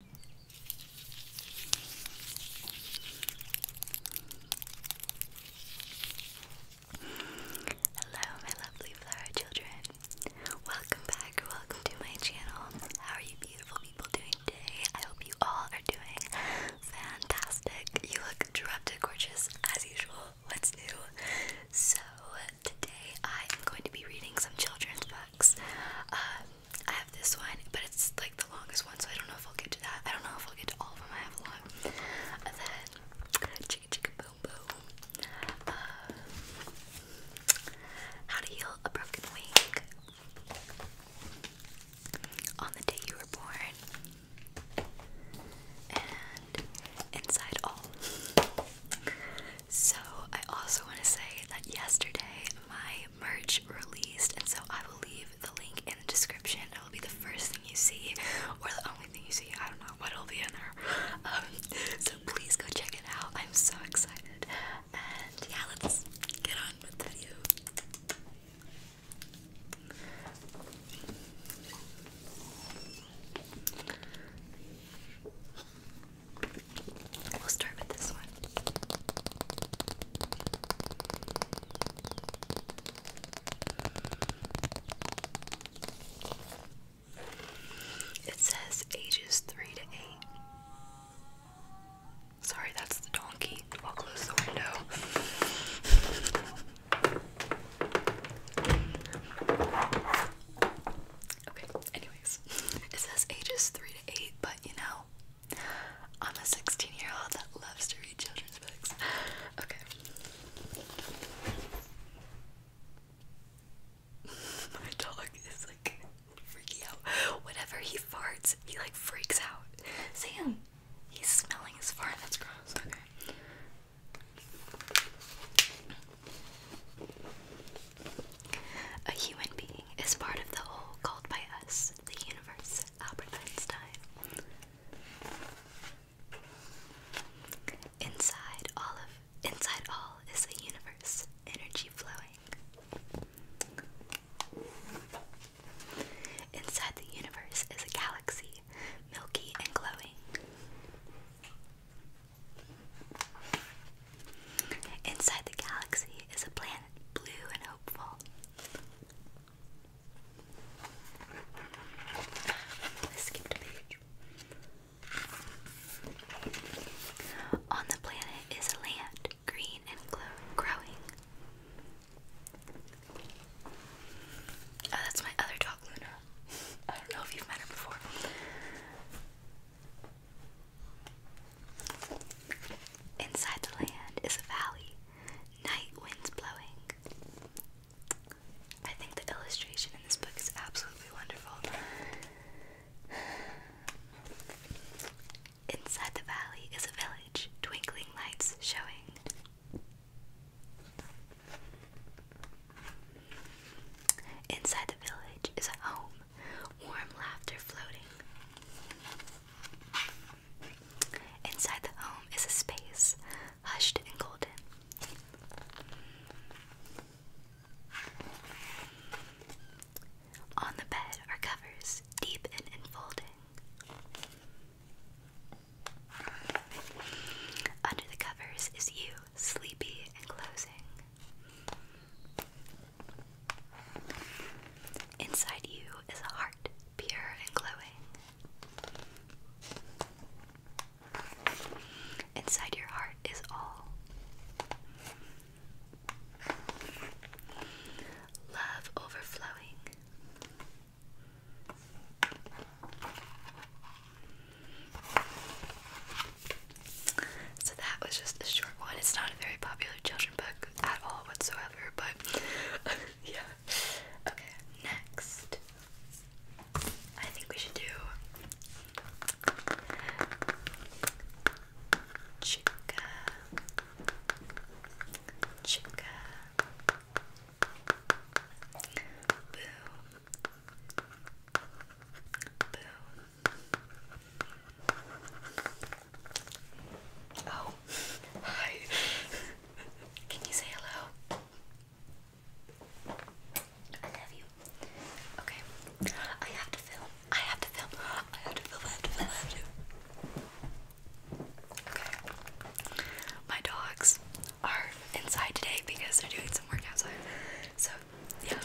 Hello, my lovely flower children. Welcome back, welcome to my channel. How are you, beautiful people, doing today? I hope you all are doing fantastic. You look drop-dead gorgeous as usual. What's new? So, today I am going to be reading some children's books. Uh, I have this one, but it's like the longest one, so I don't know if I'll get to that. I don't know if I'll get to all of them. I have a lot. then chicka chicka boom boom. Uh, how to heal a broken wing on the day you were born. And inside all. So, I also want to say that yesterday my merch released, and so I will leave the link in the description. It will be the first thing you see, or the only thing you see. I don't know what will be in there. Um, so, please go check it out. I'm so excited. And yeah, let's get on with the video. We'll start with this one. It says ages 3 to 8. Sorry, that's the donkey. I'll close the window. Okay, anyways. It says ages 3 to 8, but you know, I'm a 16 year old that loves to read children's books. Okay. My dog is like freaking out. Whenever he farts, he like freaks out. See He's smelling his fart. That's gross. Okay. A human being is part of the whole called by us, the universe, Albert Einstein. Inside all of inside all is the universe, energy flowing. Inside the universe is a galaxy, milky and glowing. Inside the galaxy is a planet blue and hopeful. On the planet is a land, green and growing. Oh, that's my other Inside the land is a valley, night winds blowing. I think the illustration in this book is absolutely wonderful. Inside the valley is a village, twinkling lights showing. Inside the village is a home, warm laughter floating. Inside the home is a space, hushed and golden. On the bed are covers, deep and enfolding. Under the covers is you, sleepy and closing. Inside you is a heart, pure and glowing. Inside your heart is all. Love overflowing. So that was just a short one. It's not a very popular children book at all whatsoever, but yeah. Okay, next. I think we should do chica chica boom Boo. Oh, hi. Can you say hello? I love you. Okay. I have to film. I have to film. I have to film. I have to film. I have to. Okay. My dogs are inside today because they're doing some work outside. So, yeah.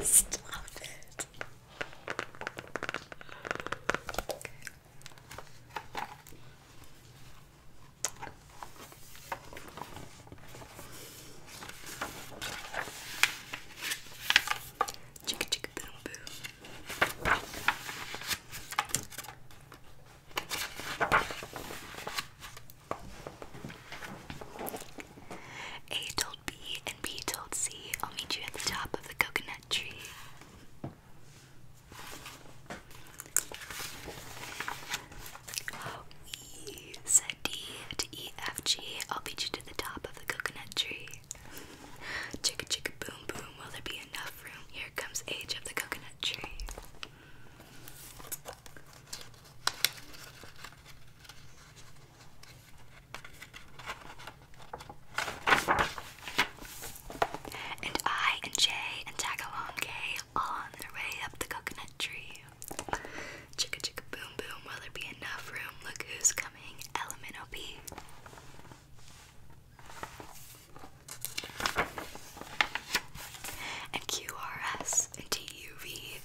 Stop it. Okay. Chicka A told B and B told C, I'll meet you at the top of the coconut tree. We D to E F G. I'll beat you to the top of the coconut tree. Chicka chicka boom boom. Will there be enough room? Here comes age of the coconut tree. And I and Jay and Tagalong all on their way up the coconut tree. Chicka chicka boom boom, will there be enough room? Look who's coming, Element OP. And QRS and TUV.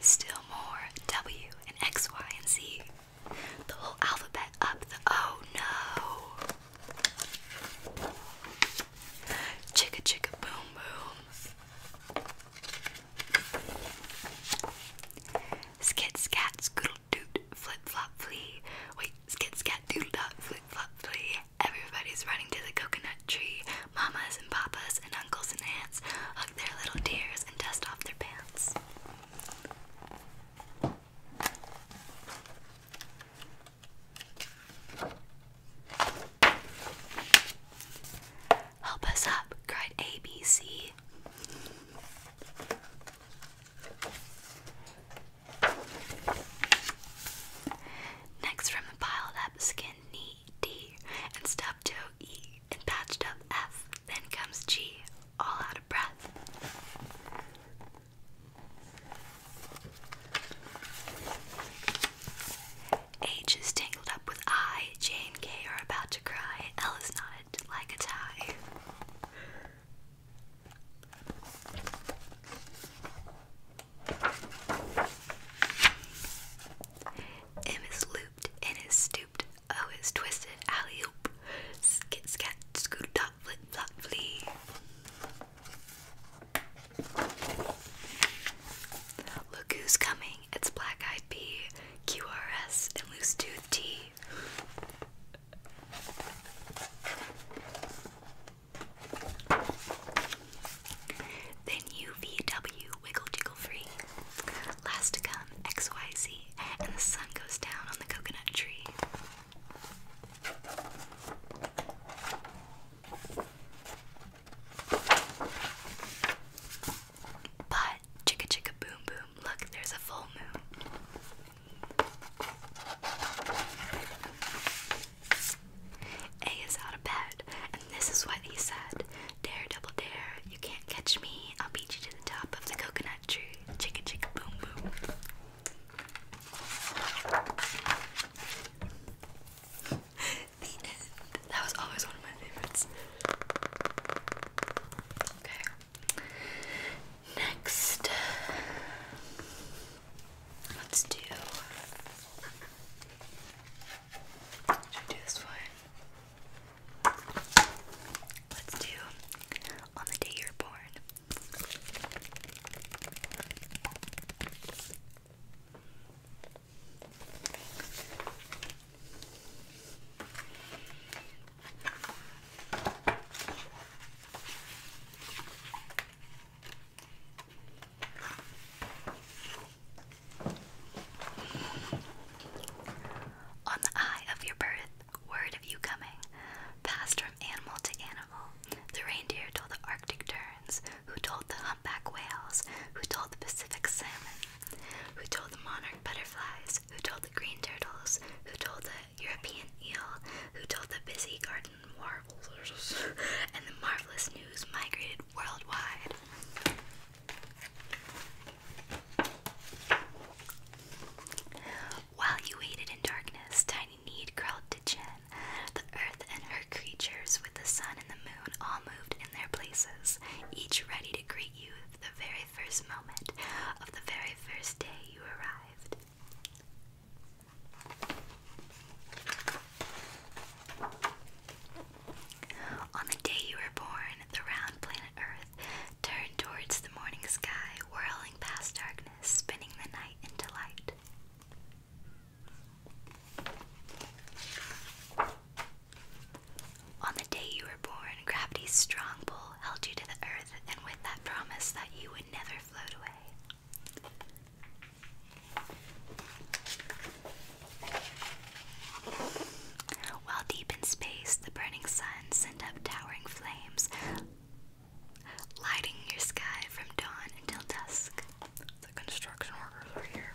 Still more W and X, Y, and Z. The whole alphabet up oh no. Chicka chicka boom boom. Skid, scat scoodle doot flip flop flee. Wait, skit scat doodle dot flip flop flea. Everybody's running to the coconut tree. Mamas and papas and uncles and aunts hug their little tears and dust off their pants. Help us up, cried ABC. Next from the piled up skin knee D and stubbed toe E and patched up F. Then comes G, all out of breath. H is tangled up with I. J and K are about to cry. L is knotted like a tie. M is looped, N is stooped, O is twisted, alley oop, skit scat, scoot Look who's coming! It's Black Eyed Pea, QRS, and Loose Tooth Tea. Then UVW, Wiggle Jiggle Free. Last to come, XYZ, and the sun goes down on the coconut tree. But chicka chicka boom boom, look, there's a full moon. A is out of bed, and this is what he said Dare, double dare, you can't catch me. I'll beat you to the top of the coconut country. Chicka chicka boom boom. the end. That was always one of my favorites. Okay. Next, let's do. Should I do this one? Let's do on the day you're born. On the eye of your birth, word of you coming passed from animal to animal. The reindeer told the Arctic terns, who told the humpback whales, who told the Pacific salmon, who told the monarch butterflies, who told the green turtles, who told the European eel, who told the busy garden marvels, and the marvelous news migrated worldwide. While you waited in darkness, Tiny Need crawled to Jen. The earth and her creatures, with the sun and the moon, all moved in their places, each ready to greet you the very first moment of the very first day you arrived. On the day you were born, the round planet Earth turn towards the morning sky, whirling past darkness, spinning the night into light. On the day you were born, gravity's strong pull held you to the earth, and with that promise that you would never float away. While deep in space, the burning sun sent up towering flames, lighting your sky from dawn until dusk. The construction workers are here.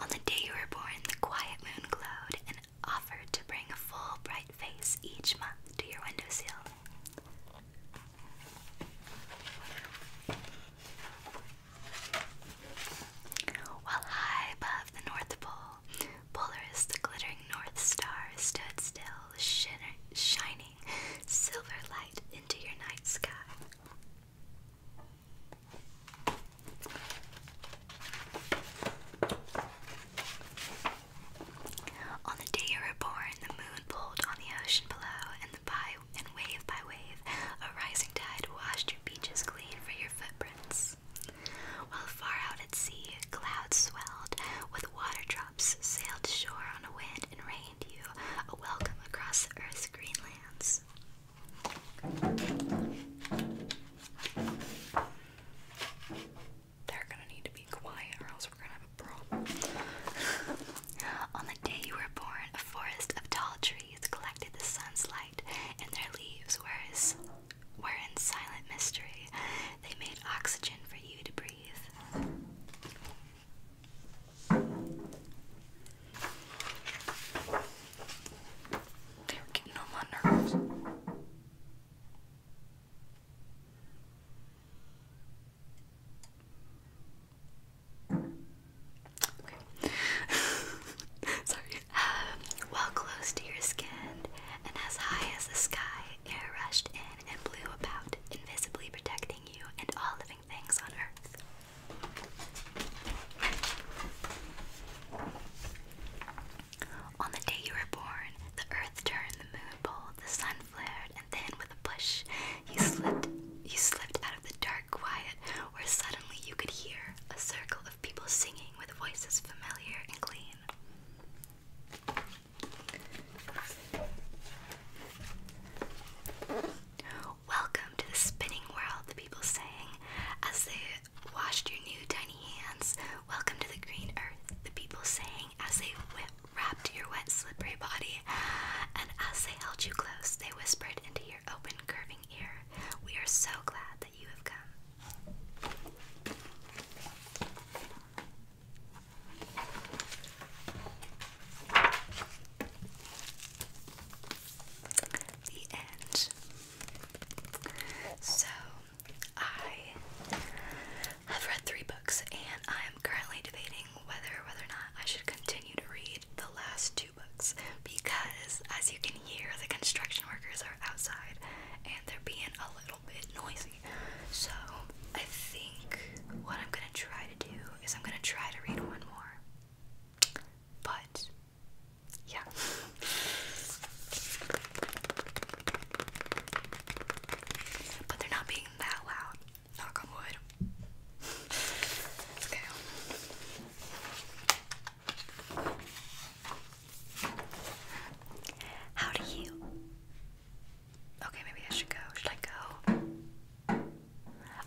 On the day you were born, the quiet moon glowed and offered to bring a full bright face each month to your windowsill. While high above the North Pole, Polaris, the glittering North Star, stood still, shining silver light into your night sky. On the day you were born, the moon pulled on the ocean below, and the by and wave by wave, a rising tide washed your beaches clean for your footprints. While far out at sea, clouds swelled with water drops sailed shore on a wind and rained you a welcome across the earth's green lands. They're gonna need to be quiet, or else we're gonna on the day you were born, a forest of tall trees collected the sun's and their leaves were in silent mystery. They made oxygen for you to breathe. They're getting on my nerves. Okay. Sorry. Um, well close to your skin and as high as the sky, air rushed in and blew about, invisibly protecting you and all living things on earth. On the day you were born, the earth turned, the moon pulled, the sun flared, and then with a push, you slipped. You slipped out of the dark quiet, where suddenly you could hear a circle of people singing with voices familiar and clean. Welcome to the spinning world, the people sang as they washed your new tiny hands. Welcome to the green earth, the people sang as they wrapped your wet, slippery body, and as they held you close, they whispered into your open, curving ear, We are so glad that you have come. The end. So I I've read three books, and I am currently debating whether or whether or not I should continue to read the last two books because, as you can hear, the construction workers are outside and they're being a little bit noisy. So, I think what I'm gonna try to do is I'm gonna try to read one more. But, yeah. But they're not being that loud. Knock on wood. okay. How do you? Okay, maybe I should go. Should I go?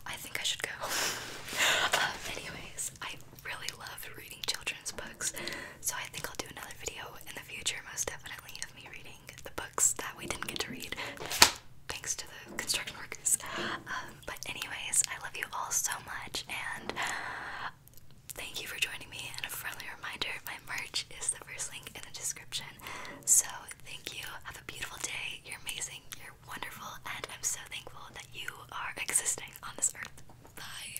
I think I should go. Um, anyways, I really love reading children's books. So I think I'll do another video in the future, most definitely, of me reading the books that we didn't get to read, thanks to the construction workers. Um, but anyways, I love you all so much, and thank you for joining me. And a friendly reminder, my merch is the first link in the description. So thank you. Have a beautiful day. You're amazing. You're wonderful, and I'm so thankful that you are existing on this earth. Bye.